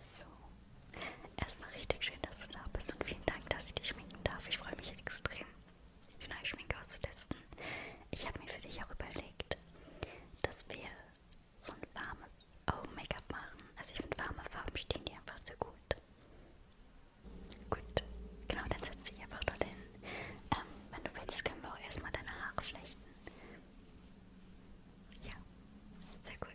So, erstmal richtig schön, dass du da bist und vielen Dank, dass ich dich schminken darf. Ich freue mich extrem, die neue Schminke auszutesten. Ich habe mir für dich auch überlegt, dass wir so ein warmes Augen-Make-up machen. Also ich finde, warme Farben stehen dir einfach sehr gut. Gut, genau, dann setze ich einfach dorthin. Ähm, wenn du willst, können wir auch erstmal deine Haare flechten. Ja, sehr cool.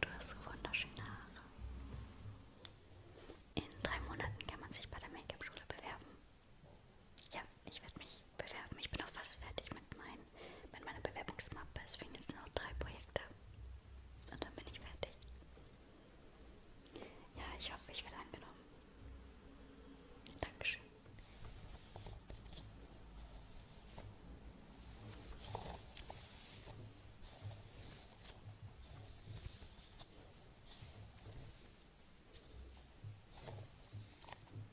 Du hast so wunderschöne Haare. In drei Monaten kann man sich bei der Make-up-Schule bewerben. Ja, ich werde mich bewerben. Ich bin auch fast fertig mit meinem sein mit meiner Bewerbungsmappe. Es fehlen jetzt noch drei Projekte. Und dann bin ich fertig. Ja, ich hoffe, ich werde angenommen. Dankeschön.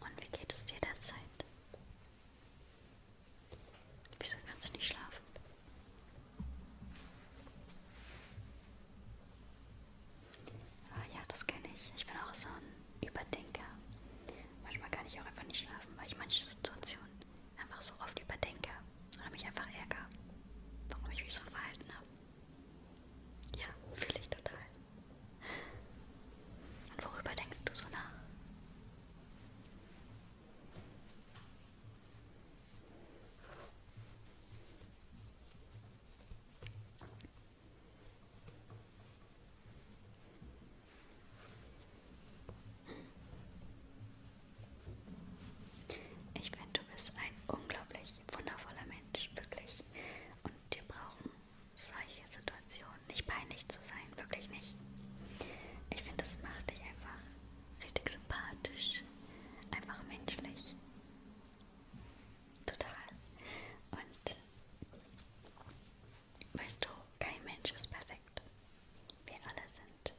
Und wie geht es dir derzeit? Wieso kannst du nicht schlafen? Oh ja, das kenne ich. Ich bin auch so ein Überdenker. Manchmal kann ich auch einfach nicht schlafen, weil ich manche Situationen einfach so oft überdenke oder mich einfach ärgere, warum ich mich so verhalten habe. Ja, fühle ich total. Und worüber denkst du so nach? Ich finde, du bist ein unglaublich wundervoller Mensch, wirklich. Und wir brauchen solche Situationen nicht peinlich zu sein, wirklich nicht. Ich finde, das macht dich einfach richtig sympathisch, einfach menschlich. Total. Und Weißt du, kein Mensch ist perfekt. Wir alle sind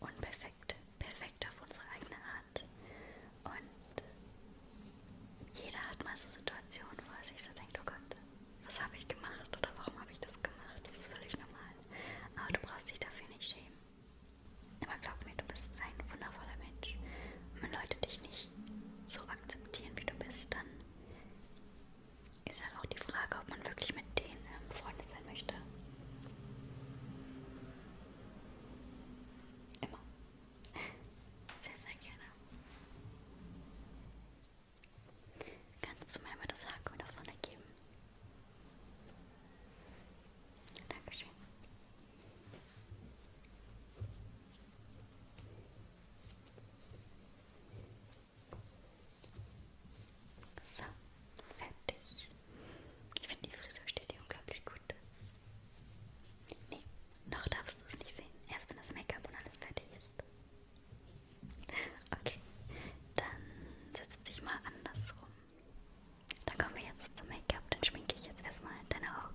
unperfekt, perfekt auf unsere eigene Art. Und jeder hat mal so Situationen, wo er sich so denkt, oh Gott, was habe ich gemacht oder warum habe ich das gemacht? Das ist völlig normal. Aber du brauchst dich dafür nicht schämen. Aber glaub mir, du bist ein wundervoller Mensch. Und wenn Leute dich nicht so akzeptieren, wie du bist, dann ist halt auch die Frage, ob man wirklich mit denen ähm, befreundet sein möchte. Immer. Sehr, sehr gerne. Kannst du mir mal das Haken da vorne geben? Dankeschön. So, fertig. Ich finde, die Frisur steht dir unglaublich gut. Nee, noch darfst du es nicht sehen. Erst wenn das Make-up und alles fertig ist. Okay, dann setz dich mal andersrum. Dann kommen wir jetzt zum Make-up. Dann schminke ich jetzt erstmal deine Augen.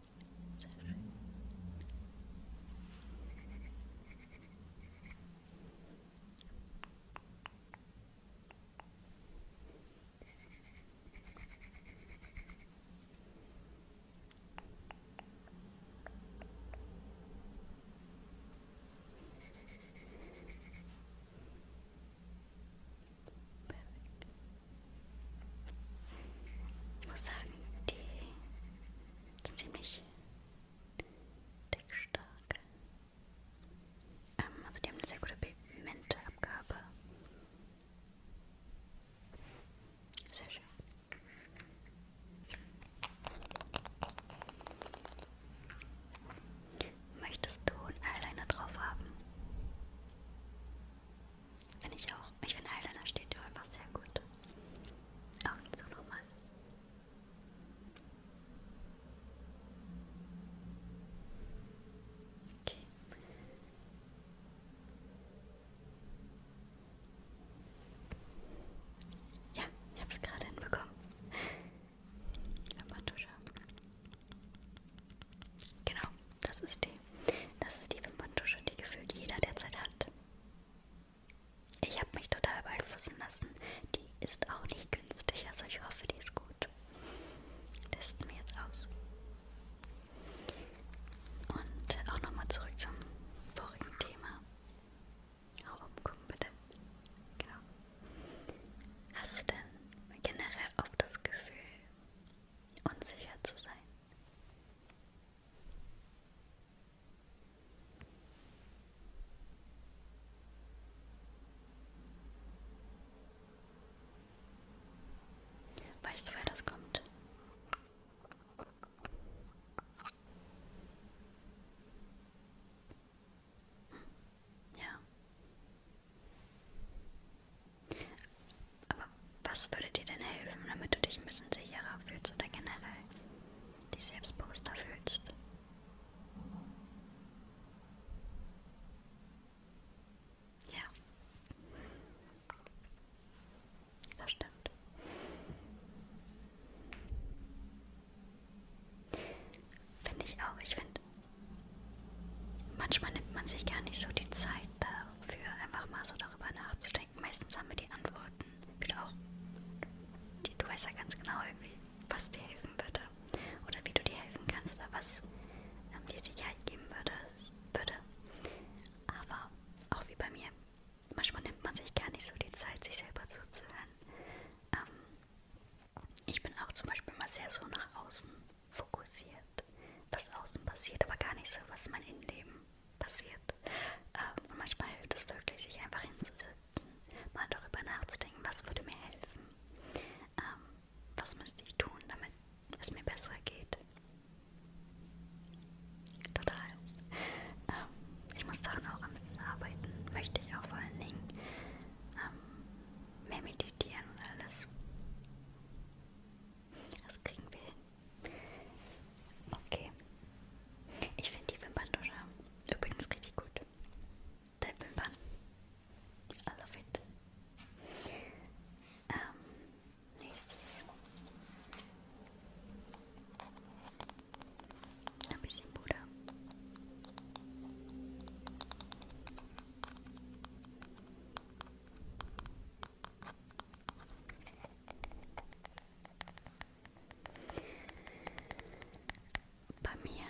Sehr schön. Perfekt. Ich muss sagen, die ziemlich dickstark. Ähm, also die haben eine sehr gute Pigmentabgabe. Sehr schön. Möchtest du einen Eyeliner drauf haben? Finde ich auch. Ich finde Eyeliner steht dir einfach sehr gut. Augen zu nochmal. Okay. Ja, ich habe es gerade hinbekommen. Wimperntusche. Genau, das ist die. Das ist die Wimperntusche, die gefühlt jeder derzeit hat. Ich habe mich total beeinflussen lassen. Die ist auch nicht günstig, also ich hoffe, die ist gut. Testen wir jetzt aus. Und auch nochmal zurück zum vorigen Thema. Auch umgucken bitte. Genau. Hast du denn generell oft das Gefühl, unsicher zu sein? Weißt du, wer das kommt? Hm. Ja. Aber was würde dir denn helfen, damit du dich ein bisschen sicherer fühlst oder generell dich selbstbewusster fühlst? Ja. Das stimmt. Finde ich auch. Ich finde, manchmal nimmt man sich gar nicht so die Zeit dafür, einfach mal so darüber nachzudenken meistens haben wir die Antworten wieder auch. Die, du weißt ja ganz genau irgendwie, was dir helfen würde. Oder wie du dir helfen kannst oder was ähm, dir Sicherheit geben würde, würde. Aber auch wie bei mir, manchmal nimmt man sich gar nicht so die Zeit, sich selber zuzuhören. Ähm, ich bin auch zum Beispiel mal sehr so nach außen fokussiert, was außen passiert, aber gar nicht so, was mein Innenleben passiert. Ähm, und manchmal hilft es wirklich, sich einfach hinzusetzen, mal darüber nachzudenken, was würde mir helfen, ähm, was müsste ich tun, damit es mir besser geht. Total. Ähm, ich muss daran auch am Ende arbeiten, möchte ich auch vor allen Dingen. Ähm, mehr meditieren und alles. Das kriegen wir hin. Okay. Ich finde die Wimperntusche übrigens richtig gut. Der Wimpern. I love it. Ähm, nächstes. Ein bisschen Puder. Bei mir.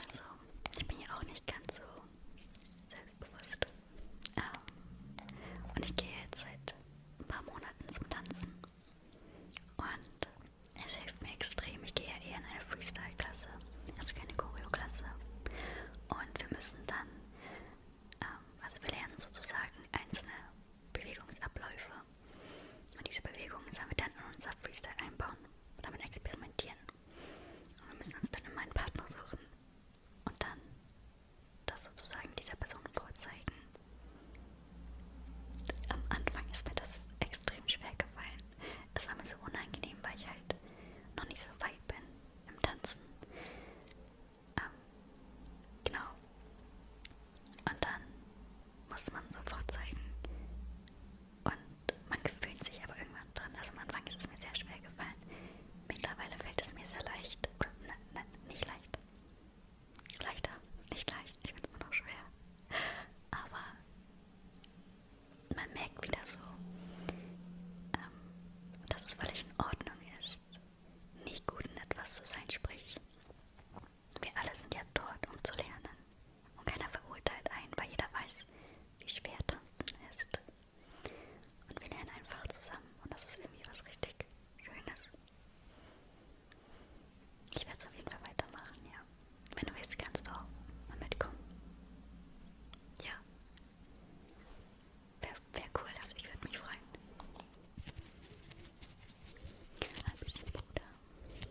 Also, ich bin ja auch nicht ganz so selbstbewusst. Ähm, und ich gehe jetzt seit ein paar Monaten zum Tanzen. Und es hilft mir extrem. Ich gehe ja eher in eine Freestyle-Klasse, also keine Choreo-Klasse. Und wir müssen dann, ähm, also wir lernen sozusagen einzelne Bewegungsabläufe. Und diese Bewegungen sollen wir dann in unser Freestyle einbauen und damit experimentieren. Und wir müssen uns dann immer einen Partner suchen und dann das sozusagen dieser Person vorzeigen. Am Anfang ist mir das extrem schwer gefallen. Es war mir so unangenehm, weil ich halt noch nicht so weit erfolgreich bin im Tanzen. Ähm, genau. Und dann muss man sofort zeigen. Und man gewöhnt sich aber irgendwann dran. Also am Anfang ist es mir sehr schwer gefallen. Mittlerweile fällt es mir sehr leicht. Oder, nein, nein, nicht leicht. Leichter, nicht leicht. Ich finde es immer noch schwer. Aber man merkt wieder so, ähm, dass es völlig in Ordnung ist, nicht gut in etwas zu sein, sprich, wir alle sind ja dort, um zu lernen. Und keiner verurteilt einen, weil jeder weiß, wie schwer Tanzen ist. Und wir lernen einfach zusammen und das ist irgendwie was richtig Schönes. Ich werde es auf jeden Fall weitermachen, ja. Wenn du willst, kannst du auch mal mitkommen. Ja. Wäre wär cool, also ich würde mich freuen. Ein bisschen Bruder. Ein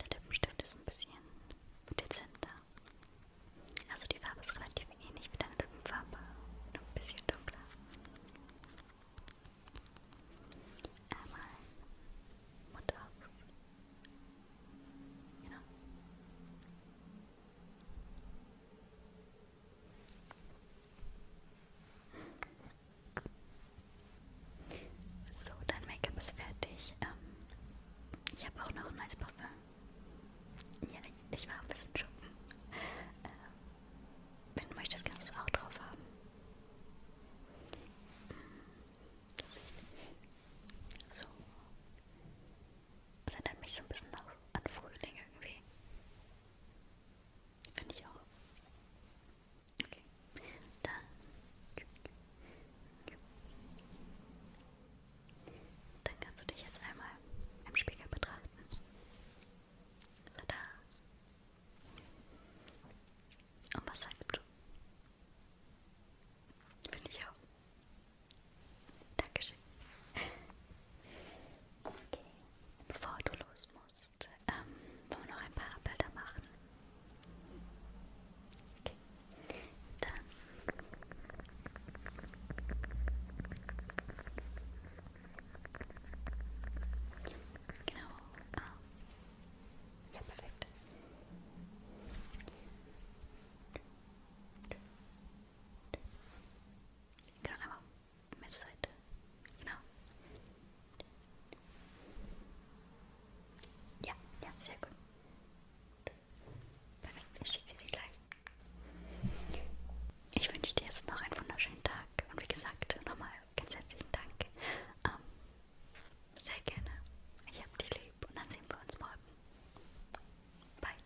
Der Lippenstift ist ein bisschen dezenter. Also die Farbe ist relativ ähnlich wie deine Lippenfarbe. Nur ein bisschen dunkler. Einmal Mund auf. Genau. So, dein Make-up ist fertig. Ähm, ich habe auch noch ein neues Parfum. Ja, ich war ein bisschen schuppen. Ähm, wenn du möchtest, kannst du es auch drauf haben. Mhm. So. Das erinnert mich so ein bisschen nach, an Frühling irgendwie. Finde ich auch. Okay. Dann. Dann kannst du dich jetzt einmal im Spiegel betrachten. Tada! Und was sagst du? Finde ich auch. Dankeschön. Okay. Bevor du los musst, ähm, wollen wir noch ein paar Bilder machen. Okay. Dann. Genau. Ah. Ja, perfekt. Okay. Genau, einmal mehr zur Seite. Genau. Ja, ja, sehr gut. Perfekt, ich schicke dir die gleich. Ich wünsche dir jetzt noch einen wunderschönen Tag und wie gesagt, nochmal ganz herzlichen Dank. Ähm, sehr gerne. Ich hab dich lieb und dann sehen wir uns morgen. Bye.